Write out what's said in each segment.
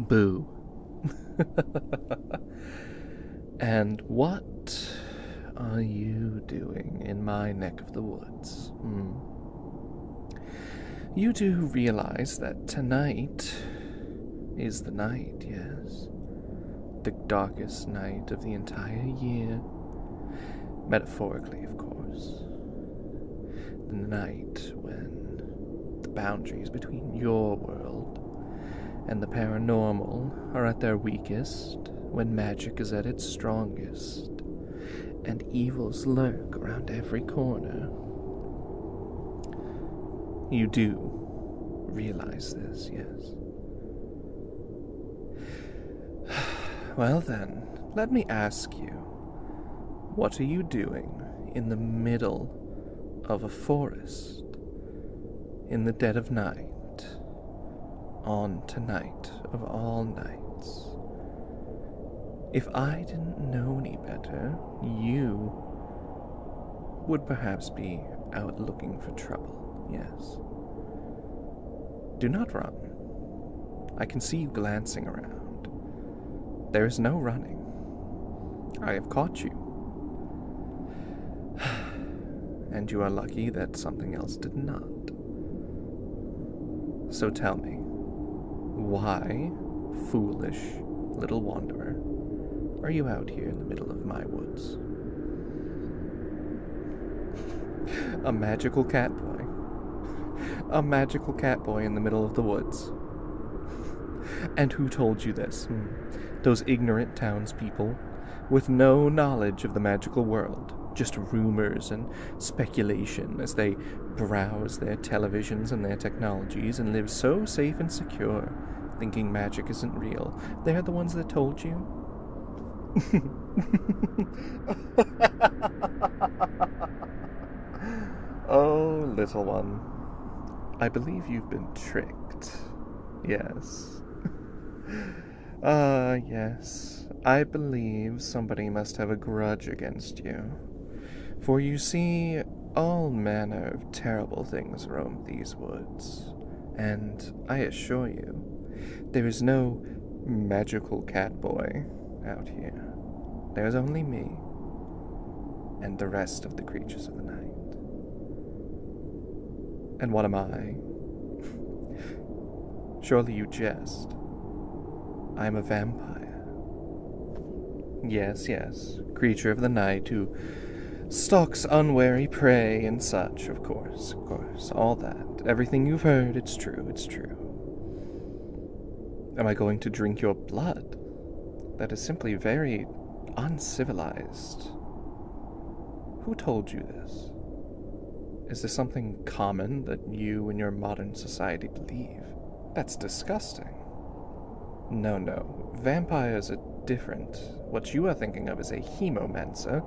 Boo. and what are you doing in my neck the woods. Hmm. You do realize that tonight is the night, yes? The darkest night of the entire year. Metaphorically, of course. The night when the boundaries between your world and the paranormal are at their weakest, when magic is at its strongest and evils lurk around every corner. You do realize this, yes. Well, then, let me ask you what are you doing in the middle of a forest in the dead of night? On tonight of all nights, if I didn't know any better, you would perhaps be out looking for trouble, yes. Do not run. I can see you glancing around. There is no running. I have caught you. and you are lucky that something else did not. So tell me, why, foolish little wanderer, are you out here in the middle of my woods? A magical cat boy. A magical cat boy in the middle of the woods. And who told you this? Hmm. Those ignorant townspeople, with no knowledge of the magical world, just rumors and speculation as they browse their televisions and their technologies and live so safe and secure, thinking magic isn't real. They're the ones that told you. oh, little one. I believe you've been tricked. Yes. Ah, yes. I believe somebody must have a grudge against you. For you see, all manner of terrible things roam these woods, and I assure you, there is no magical cat boy out here. There is only me and the rest of the creatures of the night. And what am I? Surely you jest. I am a vampire. Yes, yes, creature of the night who stalks unwary prey and such, of course, of course, all that. Everything you've heard, it's true, it's true. Am I going to drink your blood? That is simply very uncivilized. Who told you this? Is there something common that you in your modern society believe? That's disgusting. No, no. Vampires are different. What you are thinking of is a hemo hemomancer,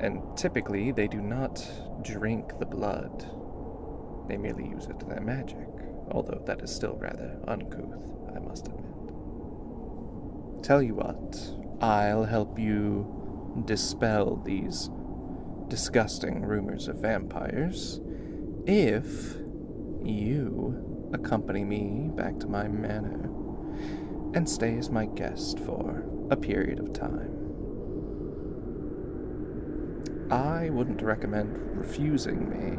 and typically they do not drink the blood. They merely use it to their magic, although that is still rather uncouth, I must admit. Tell you what, I'll help you dispel these disgusting rumors of vampires if you accompany me back to my manor and stay as my guest for a period of time. I wouldn't recommend refusing me.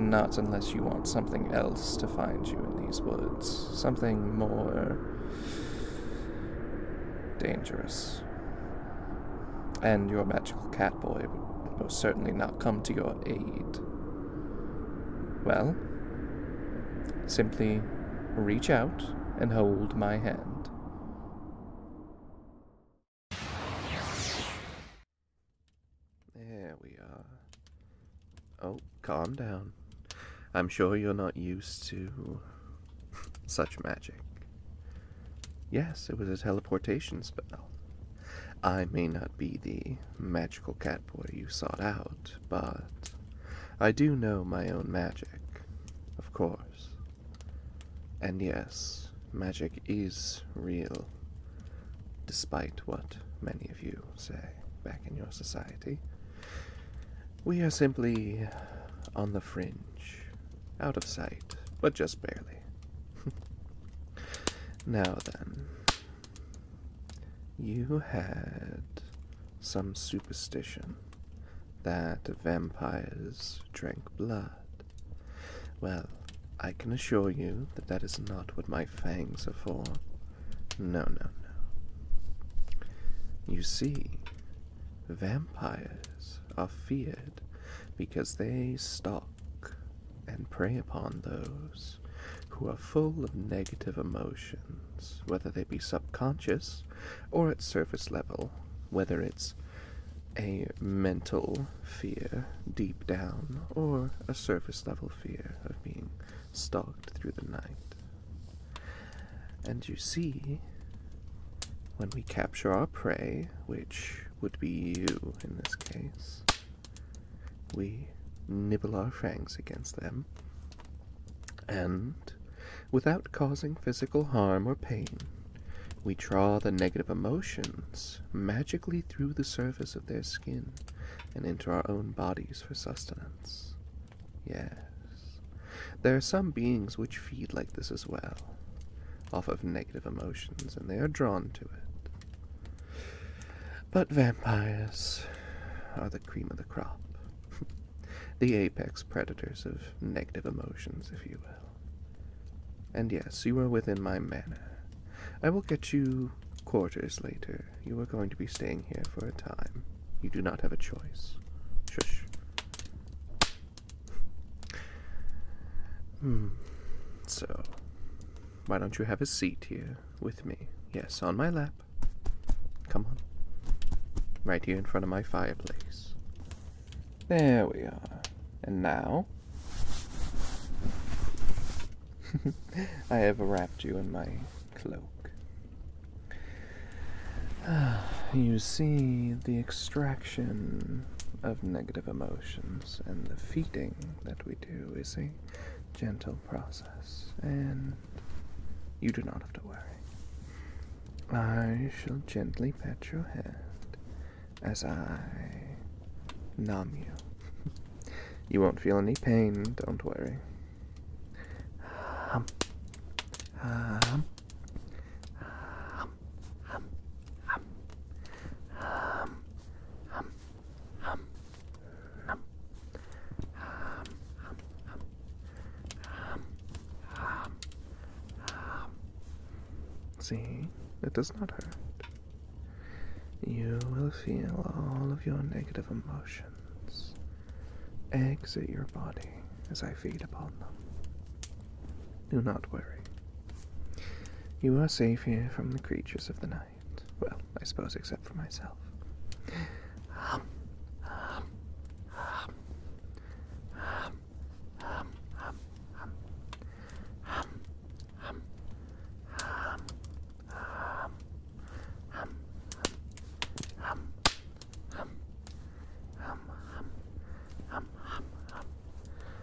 Not unless you want something else to find you in these woods. Something more dangerous and your magical cat boy will certainly not come to your aid. Well, simply reach out and hold my hand. There we are. Oh, calm down. I'm sure you're not used to Such magic. Yes, it was a teleportation spell. I may not be the magical catboy you sought out, but I do know my own magic, of course. And yes, magic is real, despite what many of you say back in your society. We are simply on the fringe out of sight, but just barely. now then, you had some superstition that vampires drank blood. Well, I can assure you that that is not what my fangs are for. No, no, no. You see, Vampires are feared because they stalk and prey upon those who are full of negative emotions, whether they be subconscious or at surface level, whether it's a mental fear deep down or a surface level fear of being stalked through the night. And you see, when we capture our prey, which would be you in this case. We nibble our fangs against them, and, without causing physical harm or pain, we draw the negative emotions magically through the surface of their skin and into our own bodies for sustenance. Yes, there are some beings which feed like this as well off of negative emotions, and they are drawn to it. But vampires are the cream of the crop, the apex predators of negative emotions, if you will. And yes, you are within my manor. I will get you quarters later. You are going to be staying here for a time. You do not have a choice. Shush. Hmm. So, why don't you have a seat here with me? Yes, on my lap. Come on. Right here in front of my fireplace. There we are. And now. I have wrapped you in my cloak. Ah, you see, the extraction of negative emotions, and the feeding that we do is a gentle process, and you do not have to worry. I shall gently pat your head as I numb you. you won't feel any pain, don't worry hum, hum, hum, hum, hum, hum, hum, hum, hum, hum, hum, See, it does not hurt. You will feel all of your negative emotions exit your body as I feed upon them. Do not worry. You are safe here from the creatures of the night. Well, I suppose except for myself.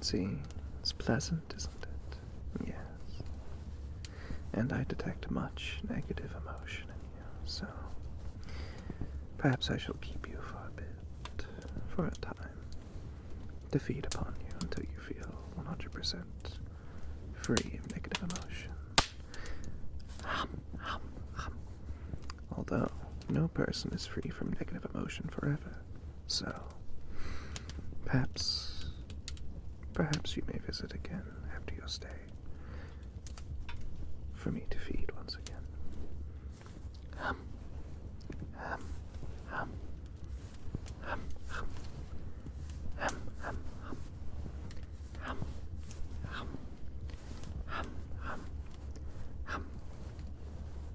See, it's pleasant, isn't it? Yes. And I detect much negative emotion in you, so perhaps I shall keep you for a bit, for a time, to feed upon you until you feel 100% free of negative emotion. Hum, hum, hum. Although, no person is free from negative emotion forever. So, perhaps, perhaps you may visit again after your stay for me to feed once again. Hum, hum, hum, hum, hum, hum, hum, hum, hum, hum, hum,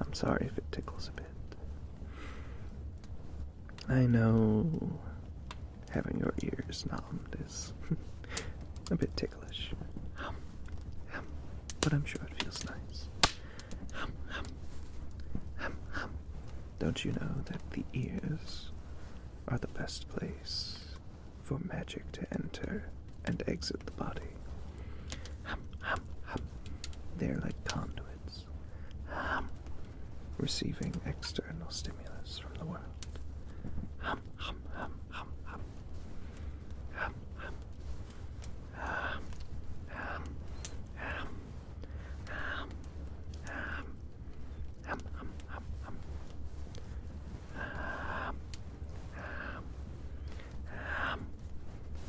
I'm sorry if it tickles a bit. I know having your ears numbed is a bit ticklish, but I'm sure it feels nice. Don't you know that the ears are the best place for magic to enter? and exit the body. Hum, hum, hum. They're like conduits, hum, receiving external stimulus from the world. Hum, hum, hum, hum, hum. Hum, hum. Hum, hum, hum. Hum, hum. Hum, hum, hum, hum. Hum, hum, hum.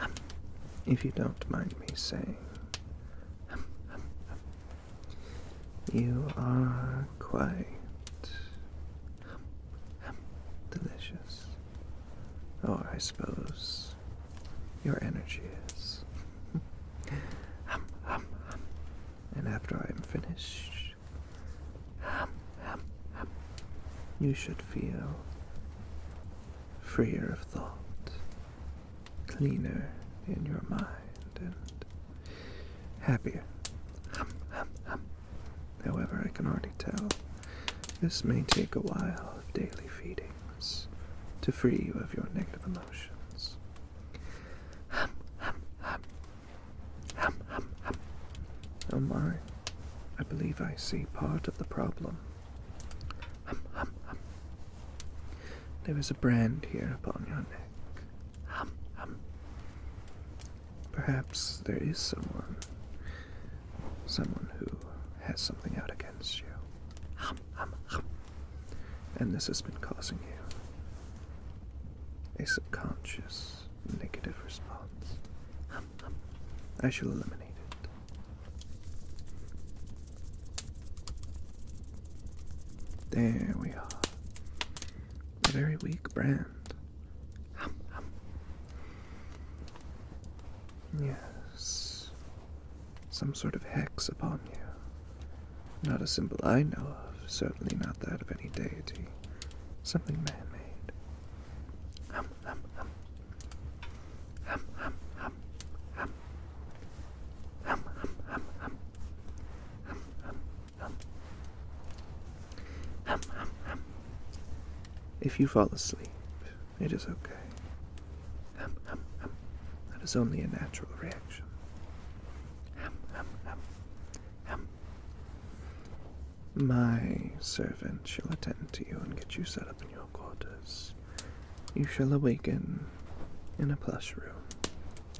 Um, if you don't mind me saying. Um, um, you are quite delicious. Or I suppose your energy is. And after I am finished, you should feel freer of thought cleaner in your mind and happier. However, I can already tell this may take a while of daily feedings to free you of your negative emotions. Hum, hum, hum. Hum, hum, hum. Oh my, I believe I see part of the problem. Hum, hum, hum. There is a brand here upon your neck. Hum, hum. Perhaps there is someone. Someone who has something out against you. Hum, hum, hum. And this has been causing you a subconscious negative response. Hum, hum. I shall eliminate it. There we are. A very weak brand. Yes. Some sort of hex upon you. Not a symbol I know of, certainly not that of any deity. Something man made. If you fall asleep, it is okay. That is only a natural reaction. My servant shall attend to you and get you set up in your quarters. You shall awaken in a plush room,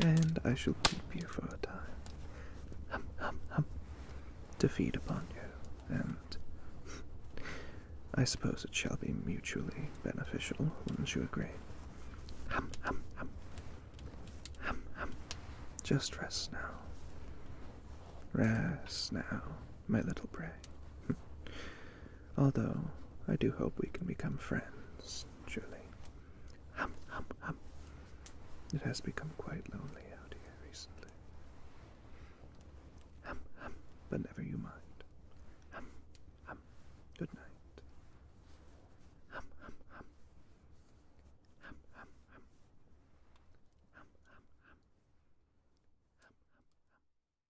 and I shall keep you for a time. Hum, hum, hum. To feed upon you, and I suppose it shall be mutually beneficial, wouldn't you agree? Hum, hum, hum. Hum, hum. Just rest now. Rest now, my little prey. Although, I do hope we can become friends, truly. Hum, hum, hum. It has become quite lonely out here recently. Hum, hum, but never you mind. Hum, hum. Good night. Hum, hum, hum. Hum, hum, hum. Hum, hum, hum. Hum, hum, hum.